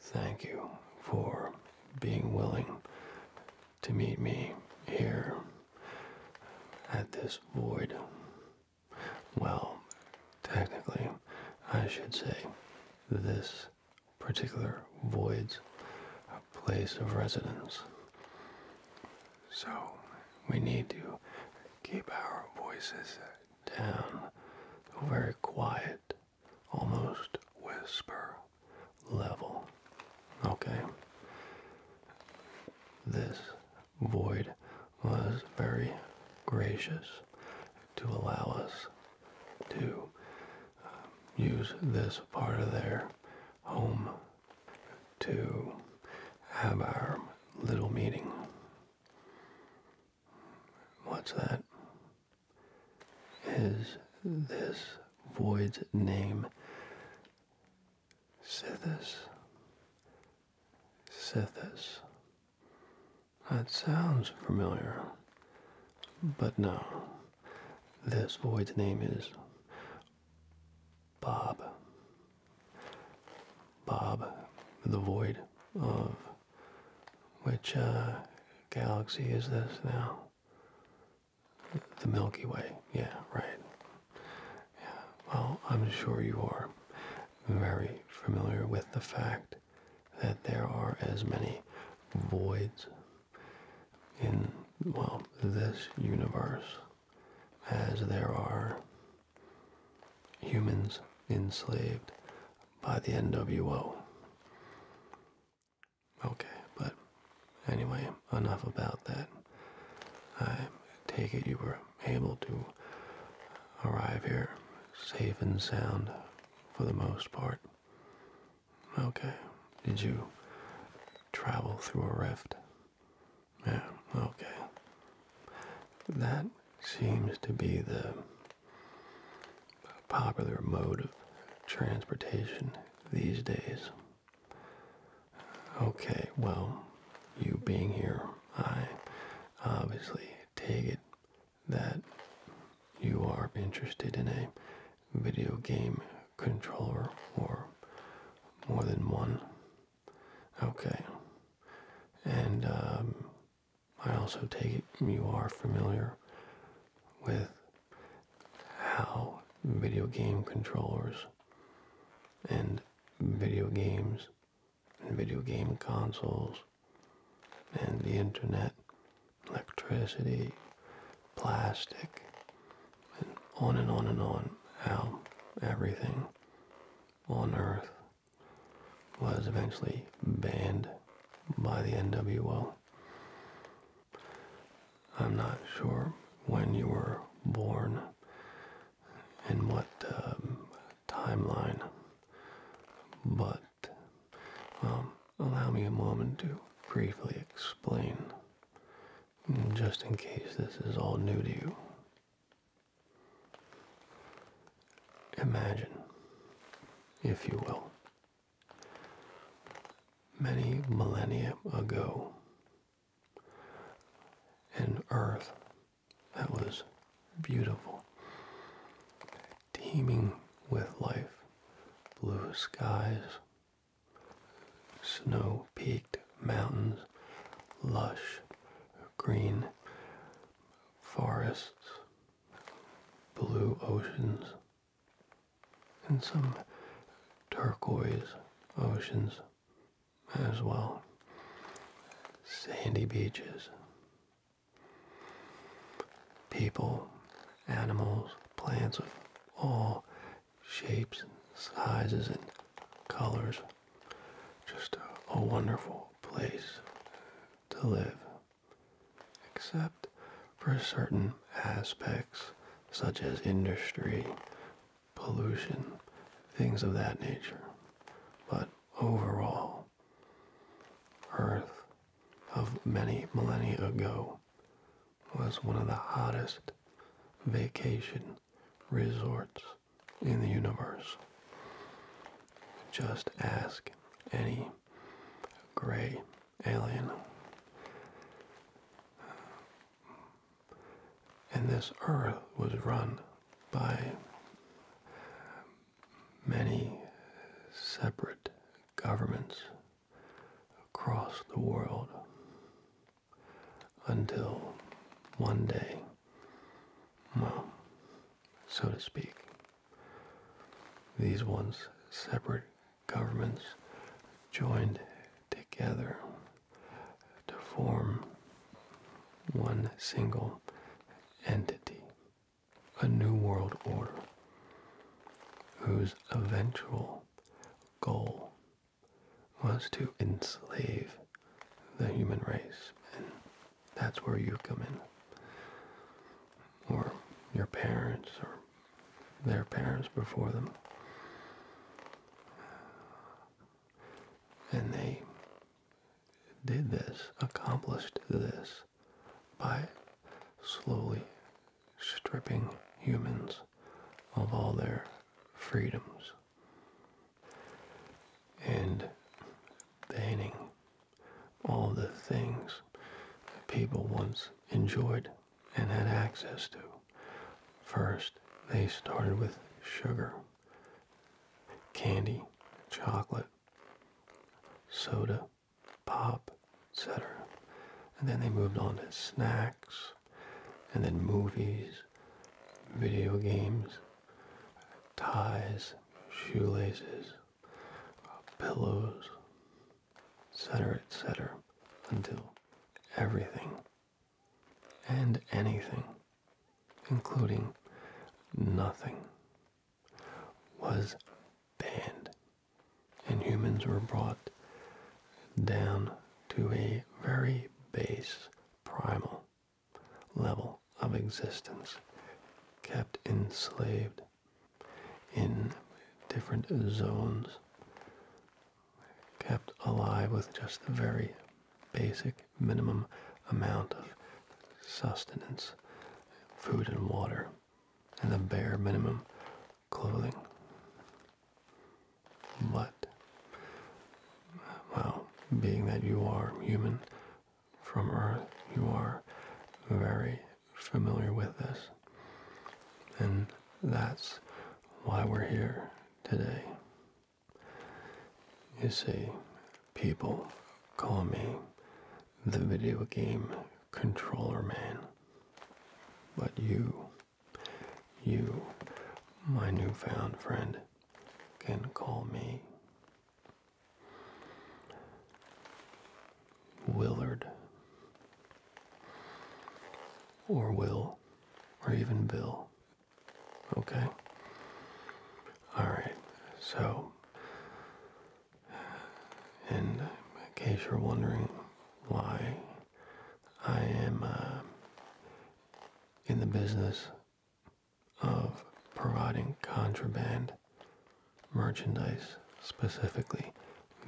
Thank you for being willing to meet me here at this void. Well, technically, I should say this particular void's place of residence. So we need to keep our voices down very quiet, almost whisper level. Okay? This void was very gracious to allow us to um, use this part of their home to have our little meeting what's that? Is this void's name Sithis? Sithis. That sounds familiar, but no. This void's name is Bob. Bob, the void of which uh, galaxy is this now? The Milky Way. Yeah, right. Well, I'm sure you are very familiar with the fact that there are as many voids in, well, this universe as there are humans enslaved by the NWO. Okay, but anyway, enough about that. I take it you were able to arrive here safe and sound for the most part. Okay, did you travel through a rift? Yeah, okay. That seems to be the popular mode of transportation these days. Okay, well, you being here, I obviously take it that you are interested in a video game controller or more than one. Okay. And um, I also take it you are familiar with how video game controllers and video games and video game consoles and the internet, electricity, plastic, and on and on and on, how everything on earth was eventually banned by the NWO. I'm not sure when you were born and what um, timeline, but um, allow me a moment to briefly explain, just in case this is all new to you. Imagine, if you will, many millennia ago, an earth that was beautiful, teeming with life, blue skies, snow peaked mountains, lush green forests, blue oceans and some turquoise oceans as well. Sandy beaches. People, animals, plants of all shapes and sizes and colors. Just a, a wonderful place to live, except for certain aspects such as industry, pollution, things of that nature. But overall, Earth of many millennia ago was one of the hottest vacation resorts in the universe. Just ask any gray alien. And this earth was run by many separate governments across the world until one day well, so to speak. These once separate governments joined together to form one single entity, a new world order, whose eventual goal was to enslave the human race that's where you come in. Or your parents or their parents before them. And they did this, accomplished this by slowly stripping humans of all their freedoms and banning all the things people once enjoyed and had access to. First, they started with sugar, candy, chocolate, soda, pop, etc. And then they moved on to snacks, and then movies, video games, ties, shoelaces, uh, pillows, etc., etc., until everything and anything, including nothing, was banned, and humans were brought down to a very base primal level of existence, kept enslaved in different zones, kept alive with just the very basic minimum amount of sustenance, food and water, and the bare minimum clothing. But, well, being that you are human, from Earth. You are very familiar with this. And that's why we're here today. You see, people call me the video game controller man. But you, you, my newfound friend, can call me Willard, or Will, or even Bill. Okay? Alright, so, and in case you're wondering why I am uh, in the business of providing contraband merchandise, specifically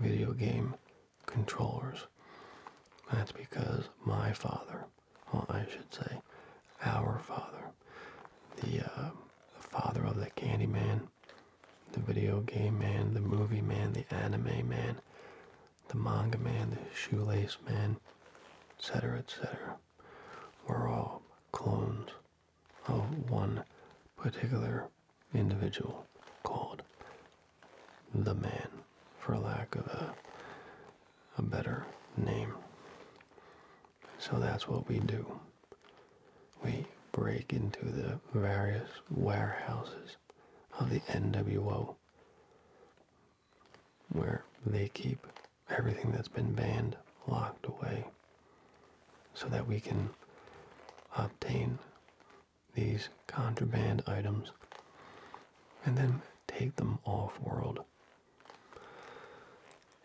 video game controllers. That's because my father, I should say, our father, the, uh, father of the Candy Man, the video game man, the movie man, the anime man, the manga man, the shoelace man, etc., etc., were all clones of one particular individual called the man, for lack of a, a better name. So that's what we do. We break into the various warehouses of the NWO where they keep everything that's been banned locked away so that we can obtain these contraband items and then take them off world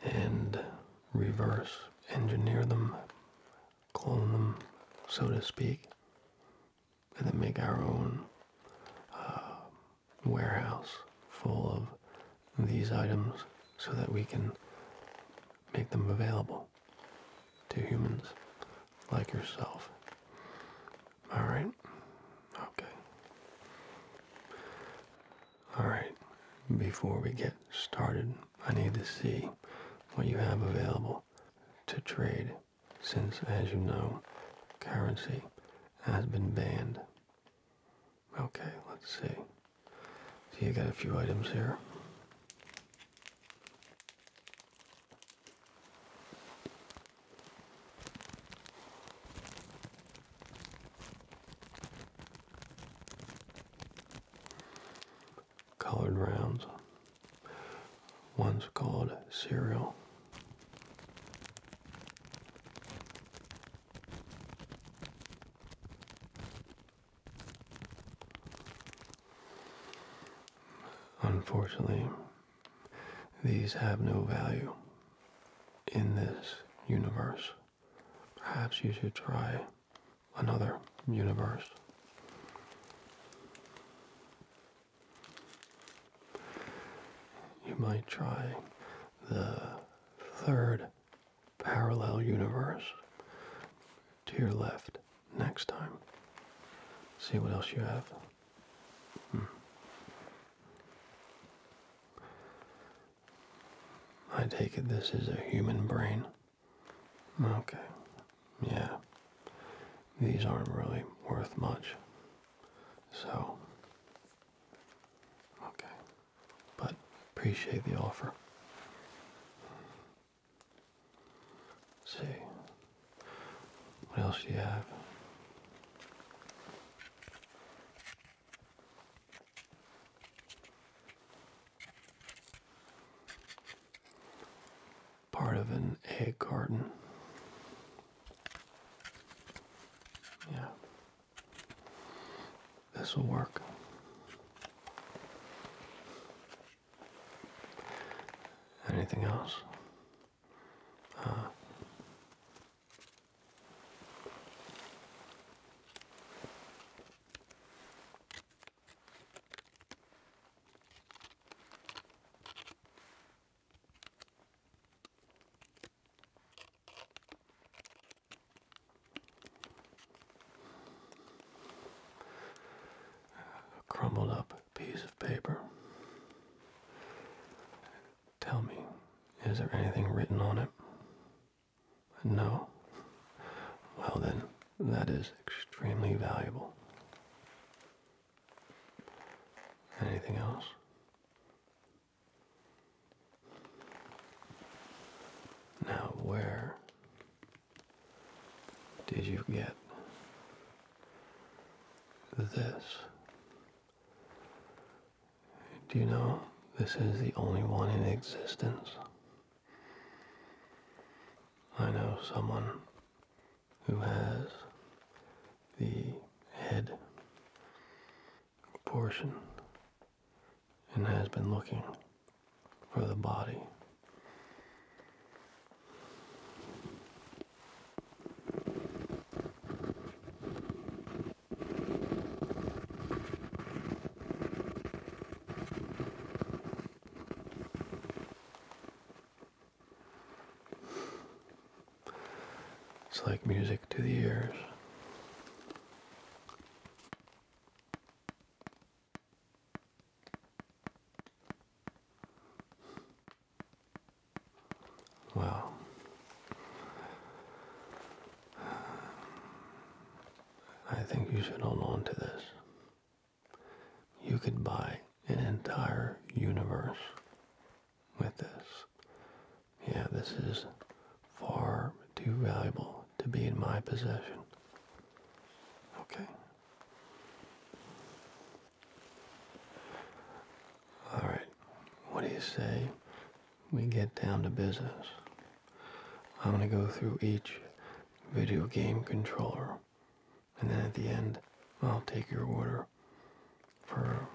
and reverse engineer them, clone them, so to speak, and then make our own uh, warehouse full of these items so that we can make them available to humans like yourself. All right? Okay. All right. Before we get started, I need to see what you have available to trade since, as you know, currency has been banned Okay, let's see. See, you got a few items here. Colored rounds. One's called cereal. Unfortunately, these have no value in this universe. Perhaps you should try another universe. You might try the third parallel universe to your left next time. See what else you have. Hmm. I take it this is a human brain. Okay. Yeah. These aren't really worth much. So. Okay but appreciate the offer. let see, what else do you have? Part of an egg garden. Yeah. This will work. Anything else? Uh, a crumbled up piece of paper. Tell me, is there anything written on it? No. Well then, that is extremely valuable. Anything else? Now, where did you get this? Do you know this is the only one in existence? I know someone who has the head portion and has been looking for the body. It's like music to the ears. Well, I think you should hold on to this. You could buy an entire universe with this. Yeah, this is far too valuable to be in my possession. Okay. All right. What do you say we get down to business? I'm going to go through each video game controller. And then at the end, I'll take your order for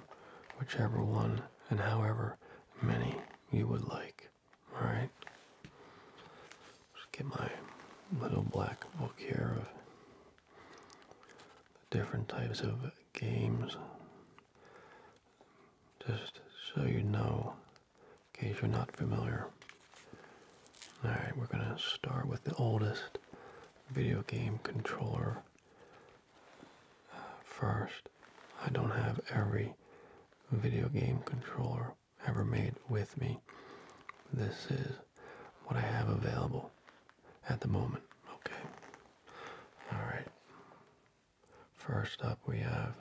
whichever one and however many you would like. All right. Just get my little black book here of different types of games. Just so you know, in case you're not familiar. All right, we're gonna start with the oldest video game controller uh, first. I don't have every video game controller ever made with me. This is what I have available at the moment. Okay. All right. First up, we have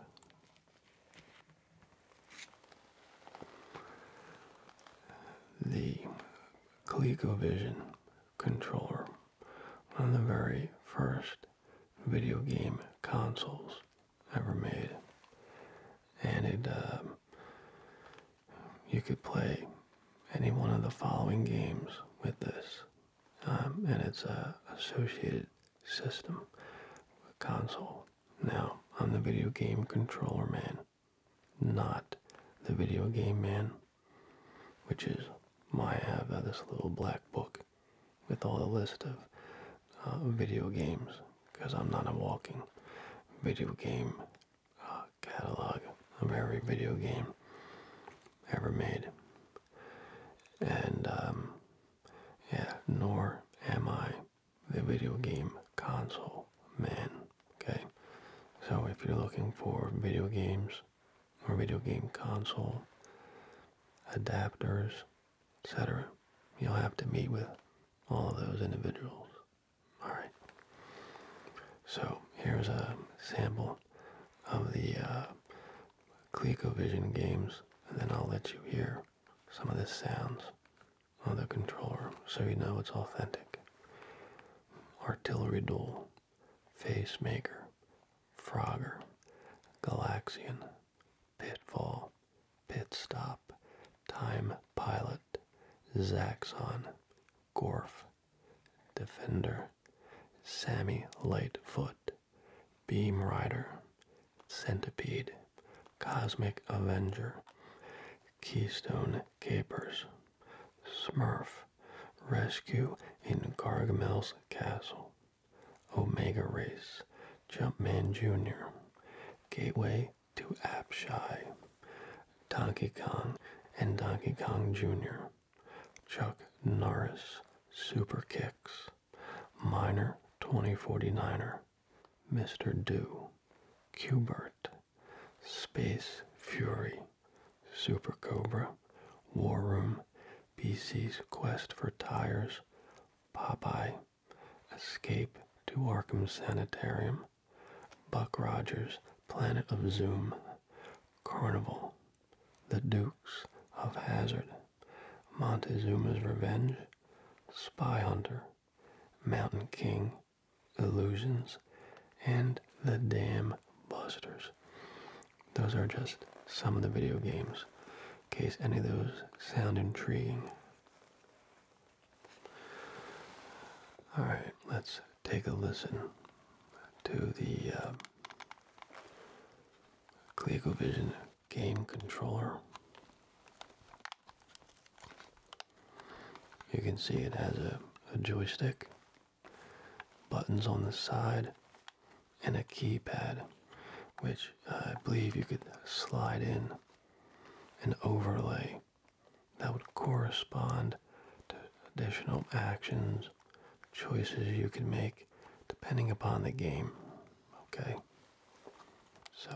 the Vision controller, on the very first video game consoles ever made. And it, um, you could play any one of the following games with this. Um, and it's a associated system console. Now, I'm the video game controller man, not the video game man, which is my have uh, this little black book with all the list of uh, video games because I'm not a walking video game uh, catalog of every video game ever made. And, um, yeah, nor am I the video game console man, okay? So if you're looking for video games or video game console adapters etc. You'll have to meet with all of those individuals. All right. So here's a sample of the uh, ColecoVision games, and then I'll let you hear some of the sounds on the controller so you know it's authentic. Artillery Duel, Face Maker, Frogger, Galaxian, Pitfall, Pit Stop, Time Pilot, Zaxxon, Gorf, Defender, Sammy Lightfoot, Beam Rider, Centipede, Cosmic Avenger, Keystone Capers, Smurf, Rescue in Gargamel's Castle. Omega Race, Jumpman Jr., Gateway to Apshai, Donkey Kong and Donkey Kong Jr., Chuck Norris, Super Kicks, Minor 2049er, Mr. Do, Cubert, Space Fury, Super Cobra, War Room, BC's Quest for Tires, Popeye, Escape to Arkham Sanitarium, Buck Rogers, Planet of Zoom, Carnival, The Dukes of Hazard, Montezuma's Revenge, Spy Hunter, Mountain King, Illusions, and The Dam Busters. Those are just some of the video games, in case any of those sound intriguing. All right, let's take a listen to the uh, game controller. You can see it has a joystick, buttons on the side, and a keypad, which I believe you could slide in an overlay that would correspond to additional actions, choices you could make depending upon the game. Okay? So.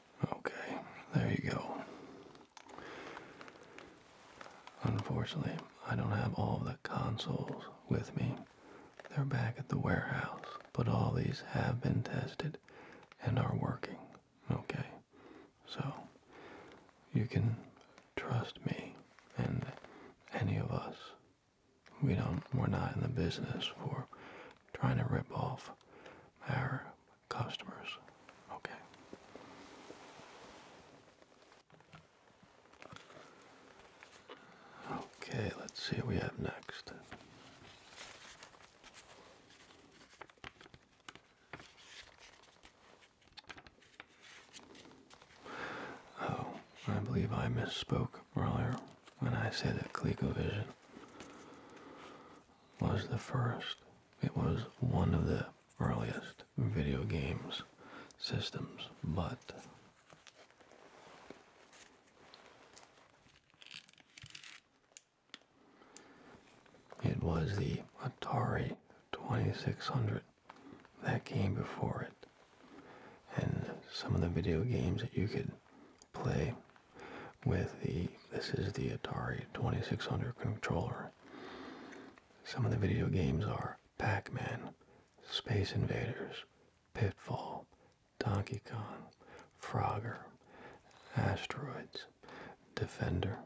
Okay, there you go. Unfortunately, I don't have all of the consoles with me. They're back at the warehouse, but all these have been tested and are working. Okay, so you can trust me and any of us. We don't, we're not in the business for trying to rip off our customers. Okay. Okay, let's see what we have next. Oh, I believe I misspoke earlier when I said that ColecoVision was the first it was one of the earliest video games systems, but it was the Atari 2600 that came before it. And some of the video games that you could play with the this is the Atari 2600 controller. Some of the video games are Pac-Man, Space Invaders, Pitfall, Donkey Kong, Frogger, Asteroids, Defender,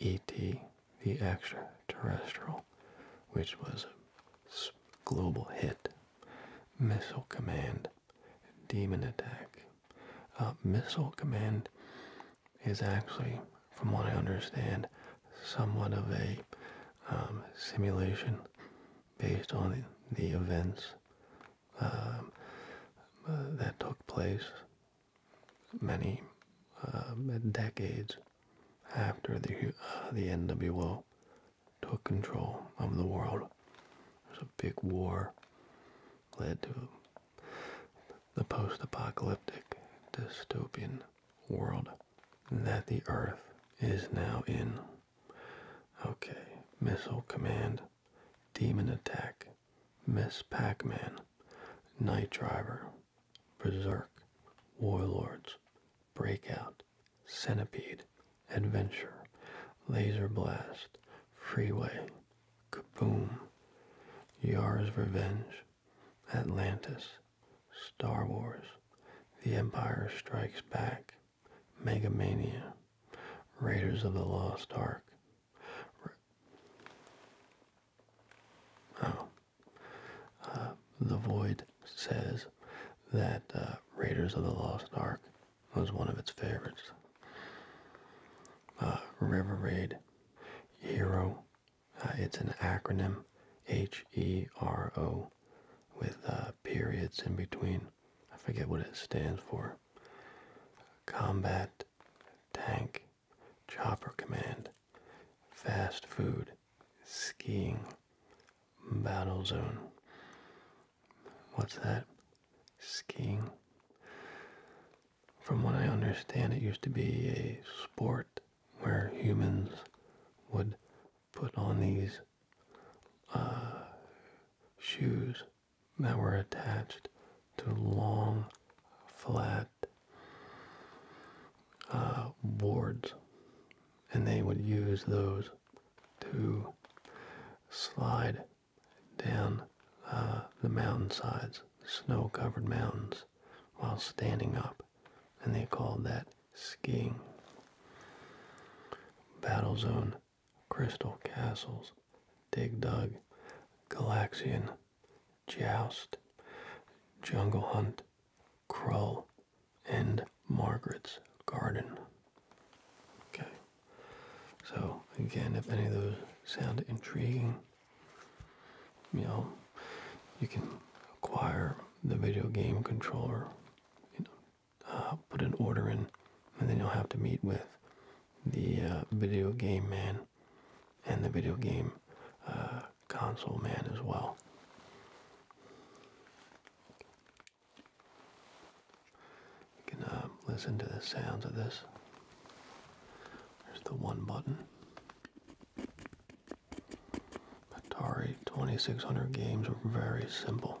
E.T., The Extraterrestrial, which was a global hit, Missile Command, Demon Attack, uh, missile Command is actually, from what I understand, somewhat of a um, simulation based on the, events um, uh, that took place many um, decades after the uh, the NWO took control of the world. There's a big war led to the post apocalyptic dystopian world that the Earth is now in. Okay, Missile Command, Demon Attack, Miss Pac Man, Night Driver, Berserk, Warlords, Breakout, Centipede, Adventure, Laser Blast, Freeway, Kaboom. Yars' Revenge. Atlantis. Star Wars. The Empire Strikes Back. Megamania. Raiders of the Lost Ark. Oh. Uh, the Void says that uh, Raiders of the Lost Ark was one of its favorites. Uh, River Raid hero uh, it's an acronym h-e-r-o with uh, periods in between i forget what it stands for combat tank chopper command fast food skiing battle zone what's that skiing from what I understand, it used to be a sport where humans would put on these uh, shoes that were attached to long, flat uh, boards, and they would use those to slide down uh, the mountainsides, snow-covered mountains, while standing up, and they called that skiing. Battle Zone, Crystal Castles, Dig Dug, Galaxian, Joust, Jungle Hunt, Krull, and Margaret's Garden. Okay. So again, if any of those sound intriguing, you know, you can acquire the video game controller, you know, uh, put an order in, and then you'll have to meet with the uh, video game man and the video game uh, console man as well. You can listen to the sounds of this. There's the one button. Atari 2600 games are very simple.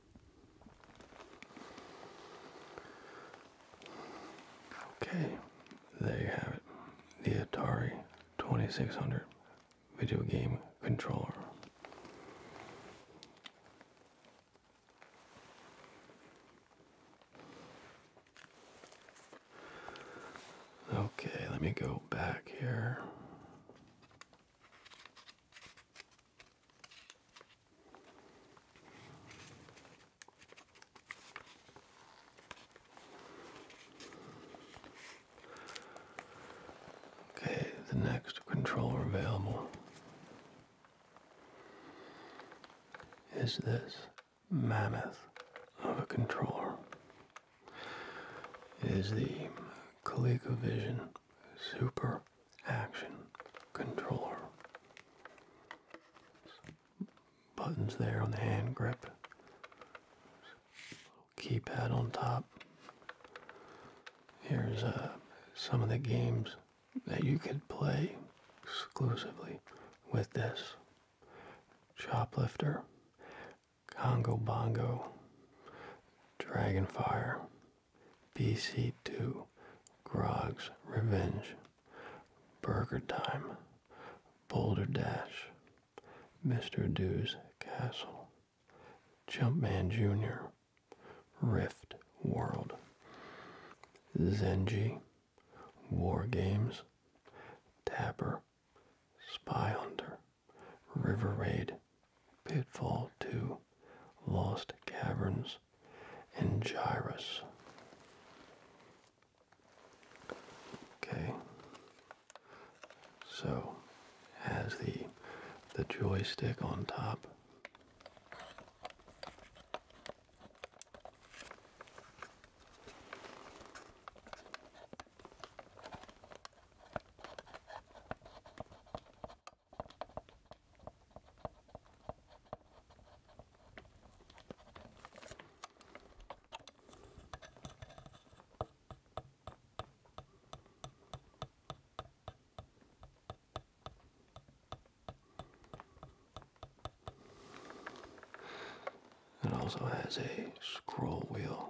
Okay, there you have it. The Atari 2600 video game controller. Okay, let me go back here. Okay, the next controller available is this mammoth of a controller. Is the ColecoVision Super action controller. Buttons there on the hand grip. Keypad on top. Here's uh, some of the games that you could play exclusively with this. Shoplifter, Congo Bongo, Dragon Fire. BC2, Grog's Revenge, Burger Time, Boulder Dash, Mr. Dew's Castle, Jumpman Jr., Rift World, Zenji, War Games, Tapper, Spy Hunter, River Raid, Pitfall 2, Lost Caverns, and gyros. Okay. So has the the joystick on top. It also has a scroll wheel.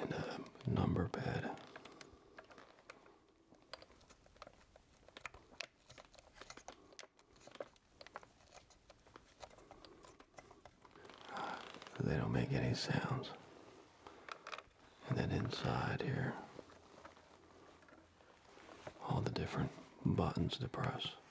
and a uh, number pad. Ah, they don't make any sounds. And then inside here, all the different buttons to press.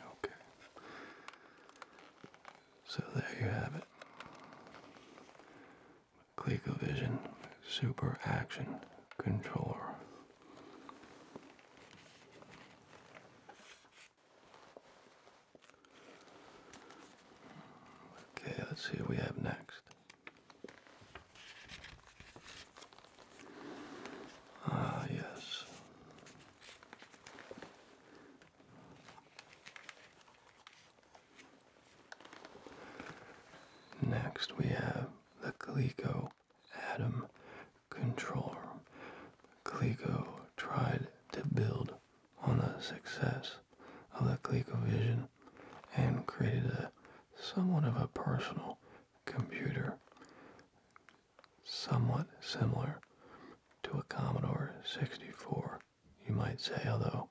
Okay. So there you have it. ColecoVision Super Action Controller. Okay, let's see we have next. Ah, yes. Next, we have the Coleco Atom Controller. Coleco tried to build on the success of the Vision and created a somewhat of a personal computer, somewhat similar to a Commodore 64 you might say, although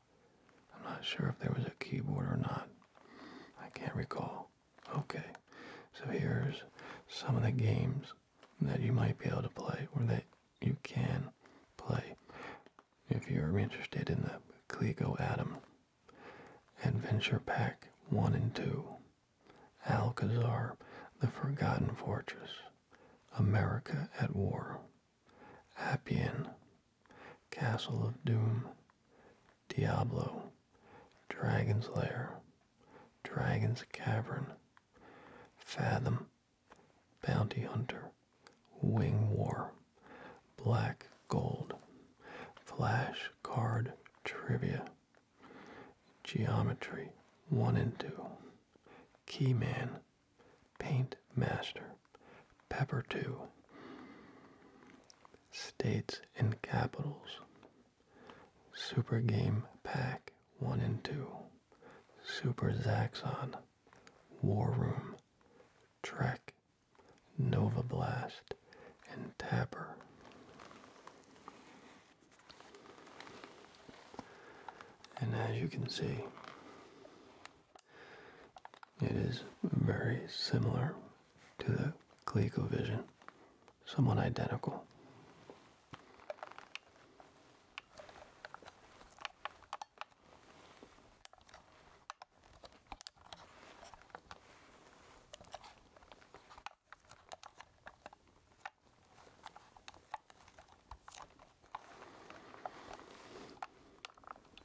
I'm not sure if there was a keyboard or not. I can't recall. Okay, so here's some of the games that you might be able to play or that you can play if you're interested in the Clico Atom Adventure Pack 1 and 2, Alcazar, The Forgotten Fortress, America at War. Appian, Castle of Doom, Diablo, Dragon's Lair, Dragon's Cavern, Fathom, Bounty Hunter, Wing War, Black Gold, Flash Card Trivia, Geometry 1 and 2, Keyman, Paint Master, Pepper 2, States and Capitals, Super Game Pack 1 and 2, Super Zaxxon, War Room, Trek, Nova Blast, and Tapper. And as you can see, it is very similar to the vision, somewhat identical.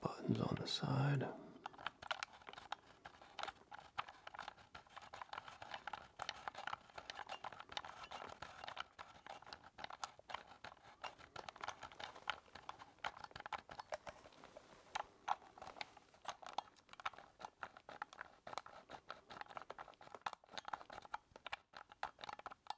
Buttons on the side.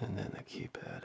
and then the keypad.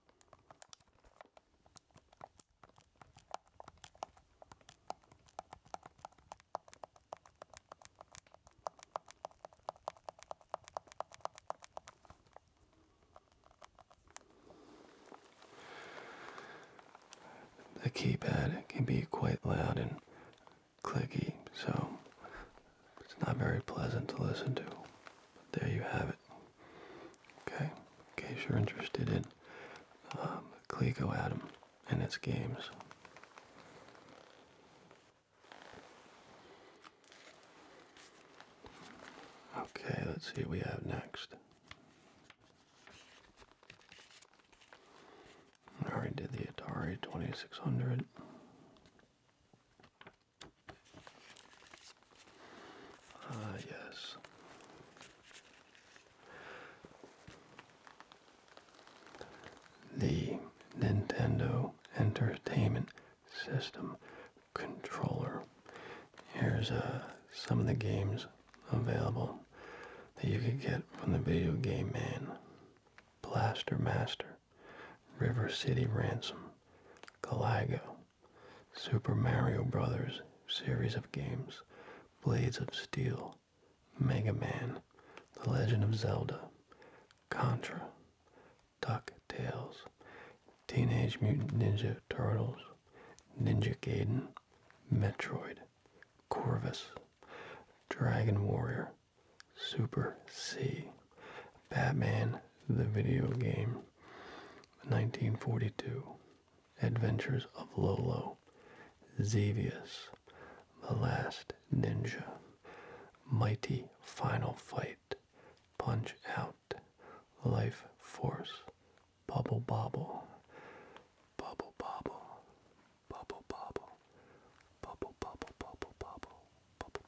The keypad can be quite loud and clicky, so it's not very pleasant to listen to. But there you have it. Okay? In case you're interested in um, Clico Atom and its games. Okay, let's see what we have next. I already did the Atari 2600. Ah, yes. The Nintendo Entertainment System controller. Here's uh, some of the games available that you could get from the video game man. Blaster Master, River City Ransom, Galago, Super Mario Brothers series of games, Blades of Steel, Mega Man, The Legend of Zelda, Contra, DuckTales, Teenage Mutant Ninja Turtles, Ninja Gaiden, Metroid, Corvus, Dragon Warrior, Super C, Batman the Video Game, 1942, Adventures of Lolo, Xevious, The Last Ninja, Mighty Final Fight, Punch Out, Life Force, Bubble Bobble, Bubble Bobble, Bubble Bobble, Bubble Bobble Bubble Bobble, Bubble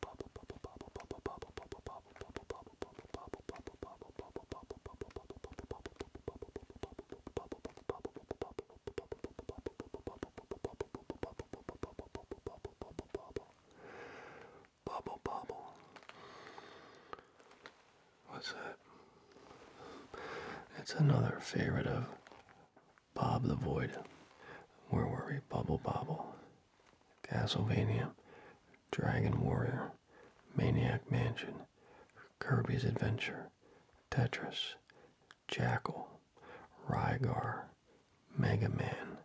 bubble. What's that? It's another favorite of Bob the Void. Where were we? Bubble bobble. Castlevania, Dragon Warrior, Maniac Mansion, Kirby's Adventure, Tetris, Jackal, Rygar, Mega Man,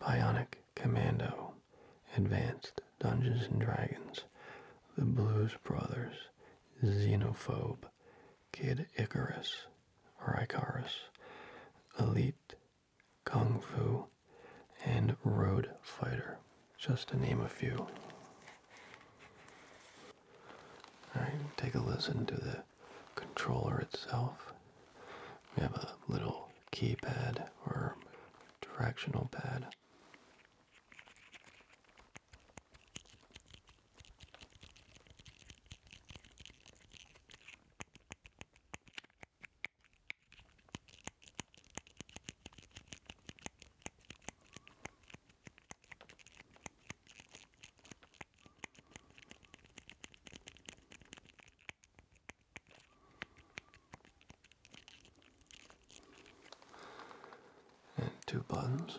Bionic Commando, Advanced Dungeons and Dragons, The Blues Brothers, Xenophobe, Kid Icarus, or Icarus, Elite Kung Fu, and Road Fighter, just to name a few. Alright, take a listen to the controller itself. We have a little keypad or directional pad and two buttons.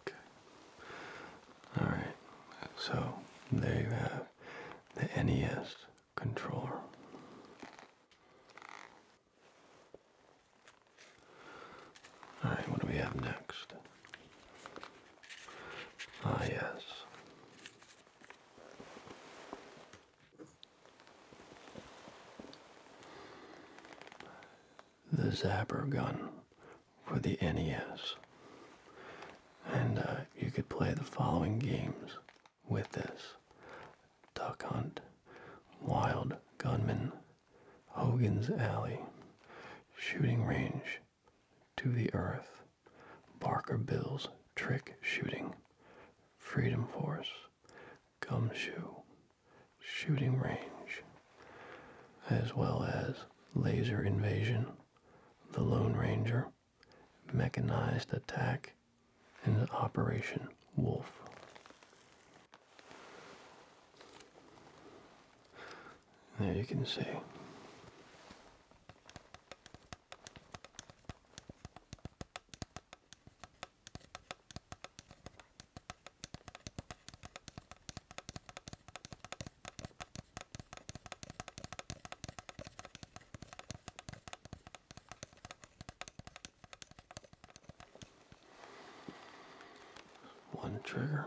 Okay. Alright, so there you have the NES controller. Alright, what do we have next? Ah, yes the Zapper gun for the NES. And uh, you could play the following games with this. Duck Hunt, Wild Gunman, Hogan's Alley, Shooting Range, To the Earth, Barker Bill's Trick Shooting, Freedom Force, gumshoe, shooting range, as well as laser invasion, the Lone Ranger, mechanized attack, and Operation Wolf. There you can see. One trigger.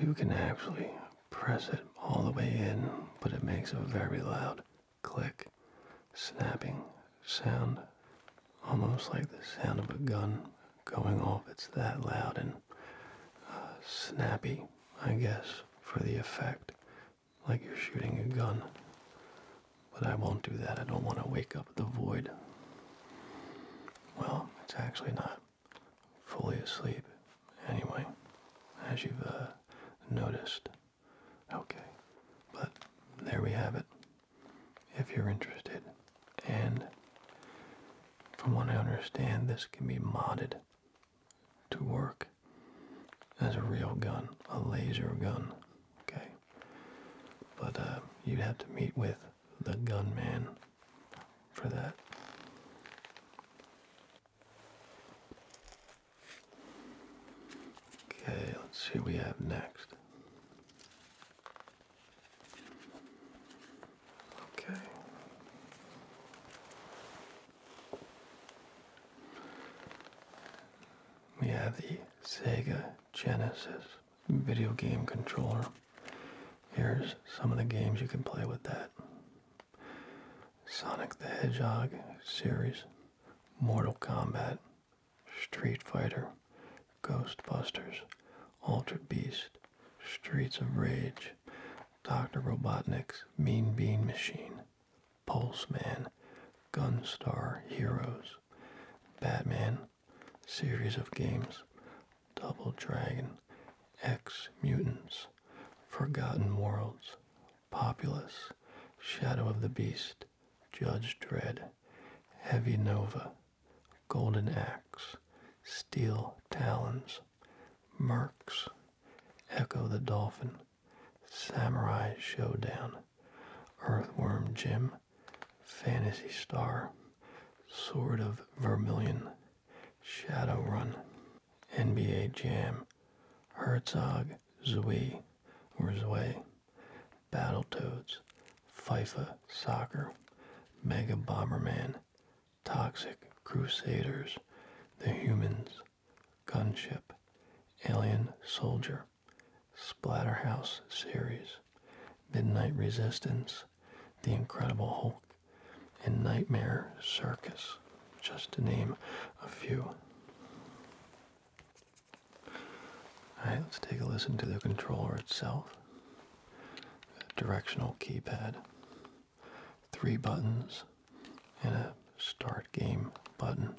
You can actually press it all the way in, but it makes a very loud click, snapping sound almost like the sound of a gun going off. It's that loud and uh, snappy, I guess, for the effect, like you're shooting a gun. But I won't do that. I don't want to wake up the void. Well, it's actually not fully asleep anyway, as you've uh, noticed. Okay, but there we have it if you're interested. And from what I understand, this can be modded to work as a real gun, a laser gun. Okay. But uh, you'd have to meet with the gunman for that. Okay, let's see what we have next. Okay. We have the Sega Genesis video game controller. Here's some of the games you can play with that. Sonic the Hedgehog series, Mortal Kombat, Street Fighter, Ghostbusters, Altered Beast, Streets of Rage, Dr. Robotnik's Mean Bean Machine, Pulse Man, Gunstar Heroes, Batman, Series of Games, Double Dragon, X Mutants, Forgotten Worlds, Populous, Shadow of the Beast, Judge Dread, Heavy Nova, golden axe, steel talons, mercs, echo the dolphin, samurai showdown, earthworm jim, fantasy star, sword of vermilion, shadow run, nba jam, herzog, zui, or Zwei, Battletoads, FIFA Soccer, Mega Bomberman, Toxic Crusaders, The Humans, Gunship, Alien Soldier, Splatterhouse series, Midnight Resistance, The Incredible Hulk, and Nightmare Circus, just to name a few. Alright, let's take a listen to the controller itself. Directional keypad, three buttons, and a start game button.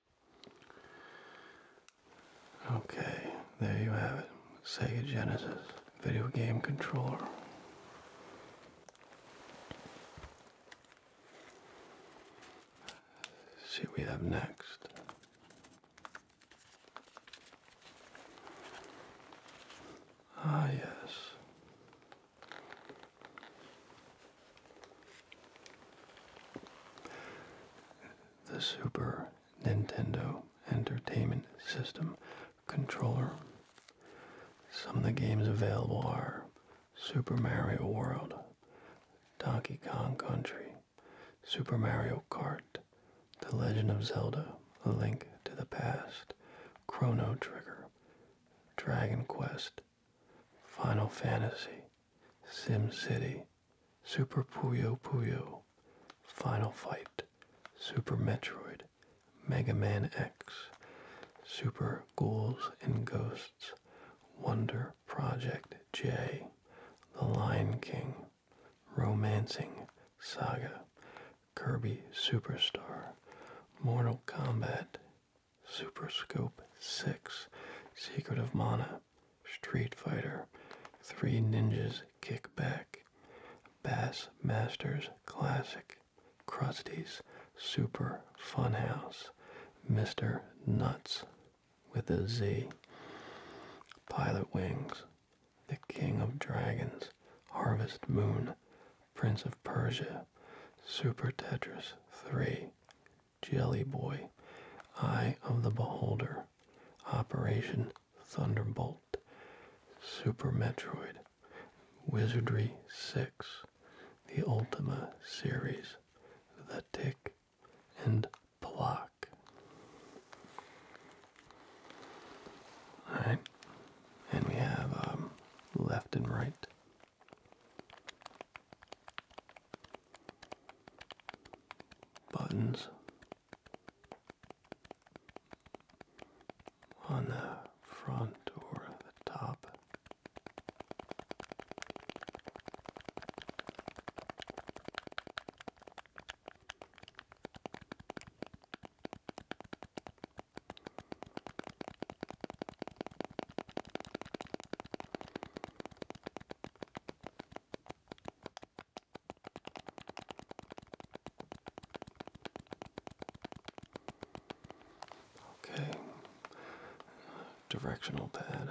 Okay, there you have it. Sega Genesis video game controller. see what we have next. Ah, yes. The Super Nintendo Entertainment System controller. Some of the games available are Super Mario World, Donkey Kong Country, Super Mario Kart, The Legend of Zelda, A Link to the Past, Chrono Trigger, Dragon Quest, Final Fantasy, Sim City, Super Puyo Puyo, Final Fight, Super Metroid, Mega Man X, Super Ghouls and Ghosts, Wonder Project J, The Lion King, Romancing Saga, Kirby Superstar, Mortal Kombat Super Scope 6, Secret of Mana, Street Fighter, Three Ninjas Kick Back, Bass Masters Classic, Krusty's Super Funhouse, Mr. Nuts with a Z, Pilot Wings, The King of Dragons, Harvest Moon, Prince of Persia, Super Tetris 3, Jelly Boy, Eye of the Beholder, Operation Thunderbolt, Super Metroid, Wizardry 6, the Ultima series, The Tick, and Block. Alright, and we have um, left and right buttons on the front or the top. Okay, directional pad.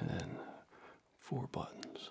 and then four buttons.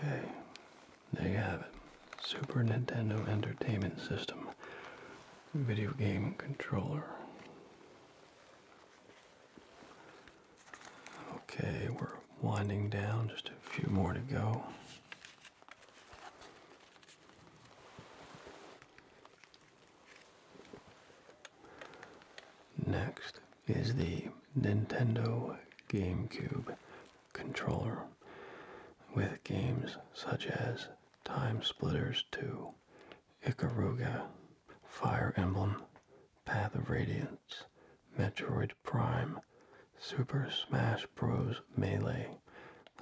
Okay, there you have it. Super Nintendo Entertainment System video game controller. Okay, we're winding down, just a few more to go. Next is the Nintendo GameCube controller with games such as Time Splitters 2, Ikaruga, Fire Emblem, Path of Radiance, Metroid. Prime, Super Smash Bros. Melee,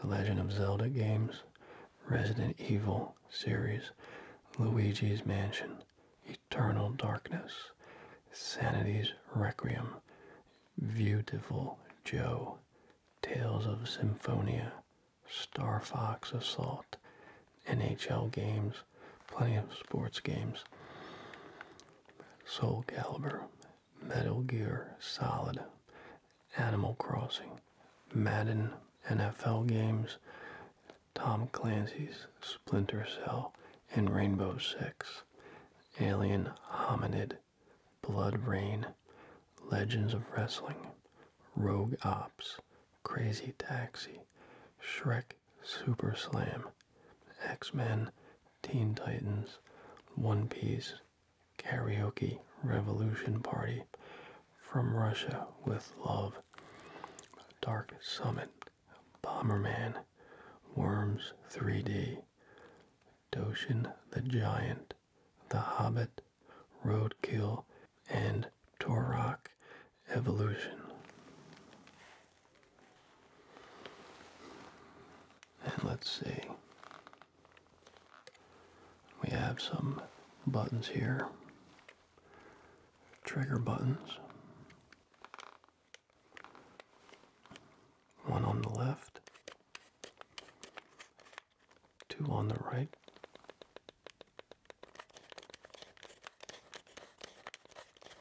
The Legend of Zelda games, Resident Evil series, Luigi's Mansion, Eternal Darkness, Sanity's Requiem, Beautiful Joe, Tales of Symphonia, Star Fox Assault, NHL games, plenty of sports games, Soul Calibur, Metal Gear Solid, Animal Crossing, Madden NFL games, Tom Clancy's Splinter Cell and Rainbow Six, Alien Hominid, Blood Rain, Legends of Wrestling, Rogue Ops, Crazy Taxi, Shrek Super Slam, X Men, Teen Titans, One Piece, Karaoke Revolution Party, From Russia with Love, Dark Summit, Bomberman, Worms 3D, Doshin the Giant, The Hobbit, Roadkill, and Torok Evolution. And let's see. We have some buttons here. Trigger buttons. One on the left. Two on the right.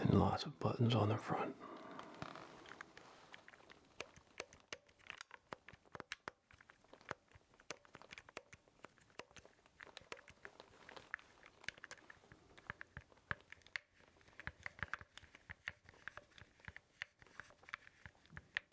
And lots of buttons on the front.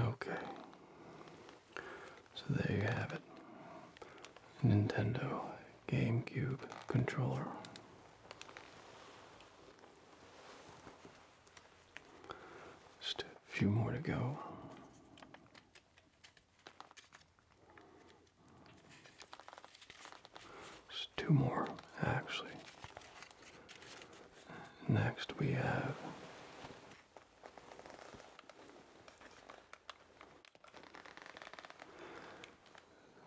Okay. So there you have it. Nintendo GameCube controller. Just a few more to go two more, actually. Next, we have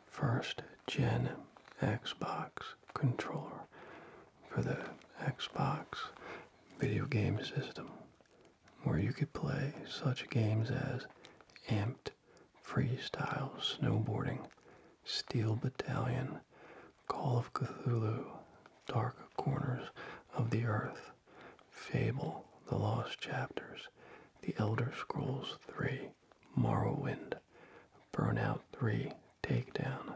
first gen Xbox controller for the Xbox video game system where you could play such games as Amped, Freestyle Snowboarding, Steel Battalion, Call of Cthulhu, Dark Corners of the Earth, Fable, The Lost Chapters, The Elder Scrolls 3, Morrowind, Burnout 3, Takedown,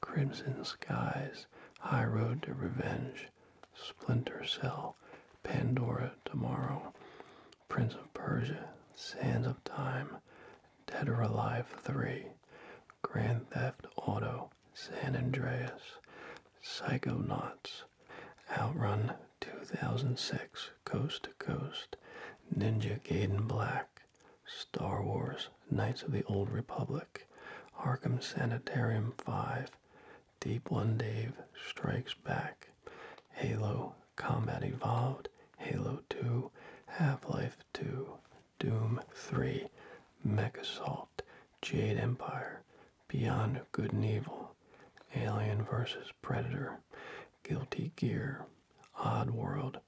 Crimson Skies, High Road to Revenge, Splinter Cell, Pandora Tomorrow, Prince of Persia, Sands of Time, Dead or Alive 3, Grand Theft Auto, San Andreas, Psychonauts, Outrun 2006, Coast to Coast, Ninja Gaiden Black, Star Wars, Knights of the Old Republic, Arkham Sanitarium 5, Deep One Dave Strikes Back, Halo Combat Evolved, Halo 2, Half-Life 2, Doom 3, Mech Assault, Jade Empire, Beyond Good and Evil, Alien vs. Predator, Guilty Gear, Odd World,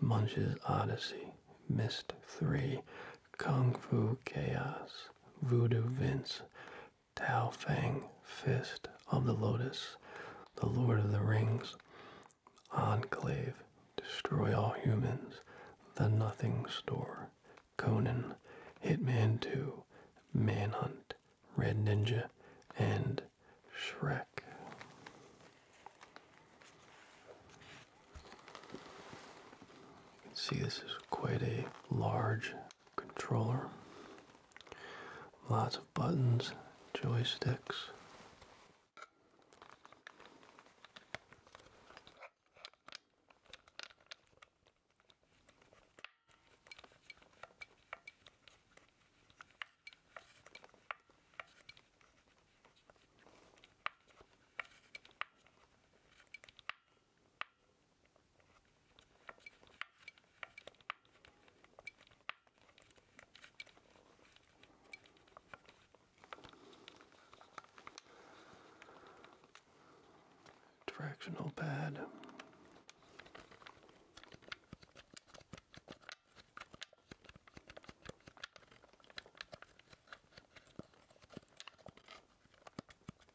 Munch's Odyssey, Mist 3, Kung Fu Chaos, Voodoo Vince, Tao Fang, Fist of the Lotus, The Lord of the Rings, Enclave, Destroy All Humans, The Nothing Store, Conan, Hitman 2, Manhunt, Red Ninja, and Shrek. You can see this is quite a large controller. Lots of buttons, joysticks. Directional pad.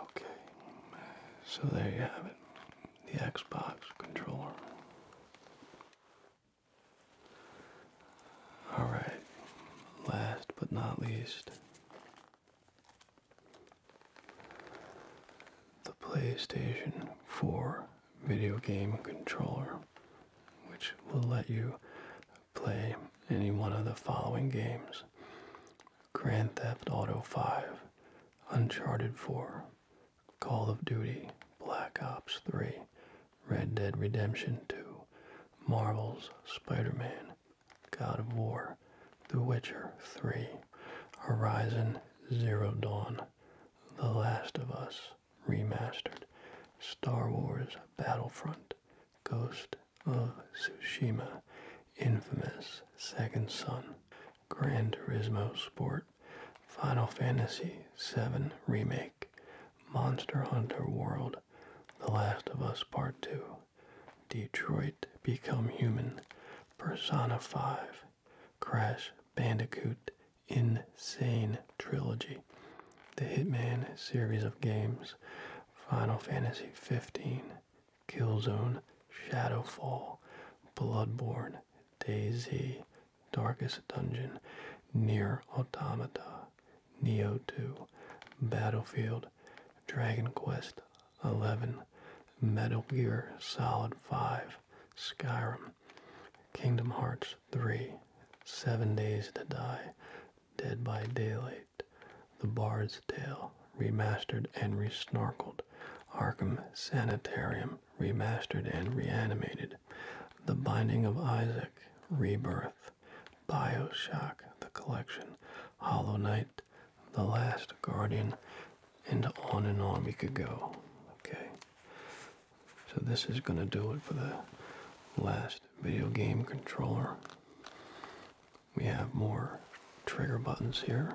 Okay, so there you have it the Xbox controller. All right, last but not least, the PlayStation 4 video game controller, which will let you play any one of the following games Grand Theft Auto 5, Uncharted 4, Call of Duty, Black Ops 3, Red Dead Redemption 2, Marvel's Spider Man. God of War, The Witcher 3, Horizon Zero Dawn, The Last of Us Remastered, Star Wars Battlefront, Ghost of Tsushima, Infamous Second Son, Gran Turismo Sport, Final Fantasy VII Remake, Monster Hunter World, the Last of Us Part 2, Detroit Become Human, Persona 5, Crash Bandicoot Insane Trilogy, The Hitman series of games, Final Fantasy 15, Killzone, Shadowfall, Bloodborne, Daisy, Darkest Dungeon, Near Automata, Neo 2, Battlefield, Dragon Quest 11, Metal Gear Solid 5, Skyrim, Kingdom Hearts 3, 7 Days to Die, Dead by Daylight, The Bard's Tale, remastered and re-snarkled, Arkham Sanitarium, remastered and reanimated, The Binding of Isaac, Rebirth, Bioshock, The Collection, Hollow Knight, The Last Guardian, and on and on we could go. Okay. So this is going to do it for the last video game controller. We have more trigger buttons here.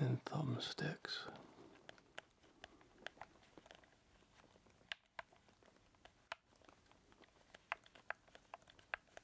and thumbsticks.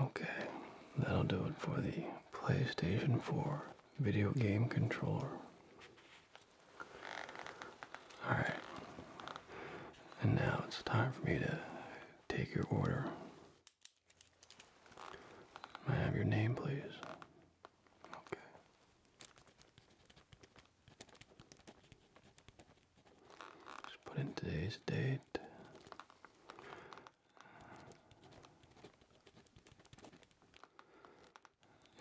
Okay, that'll do it for the PlayStation 4 video game controller. Alright. And now it's time for me to take your order. I have your name, please? Okay. Just put in today's date.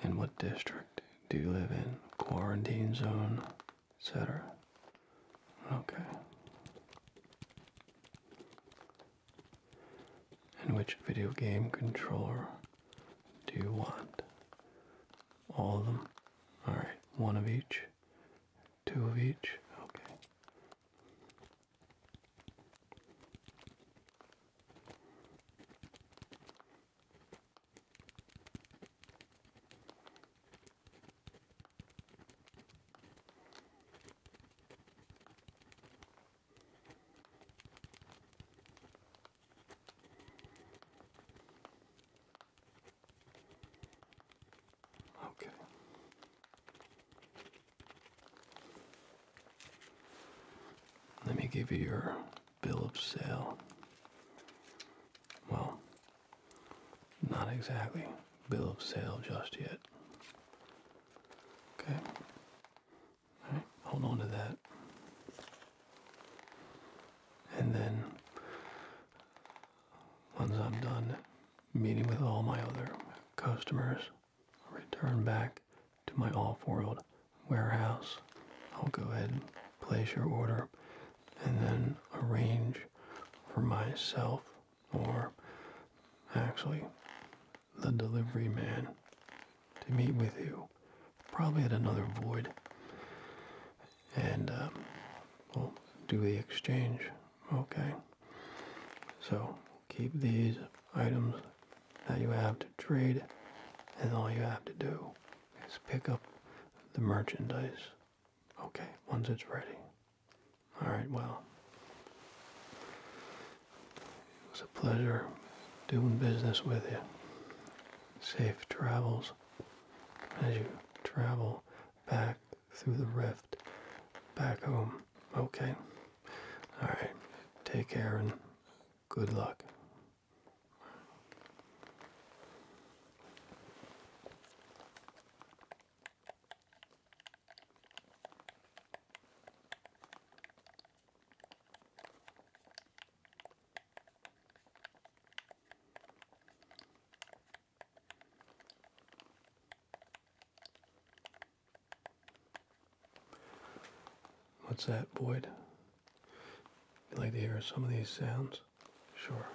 And what district do you live in? Quarantine zone? etc. Okay. And which video game controller do you want? All of them? Alright, one of each? Two of each? Okay. Okay. Let me give you your bill of sale. Well, not exactly bill of sale just yet. Okay. hold on to that. And then, once I'm done meeting with all my other customers, I'll return back to my off-world warehouse. I'll go ahead and place your order and then arrange for myself or actually the delivery man to meet with you probably at another void and um, we'll do the exchange okay so keep these items that you have to trade and all you have to do is pick up the merchandise. Okay, once it's ready. Alright, well. It was a pleasure doing business with you. Safe travels as you travel back through the rift back home. Okay? Alright, take care and good luck. What's that, Boyd? I'd like to hear some of these sounds. Sure.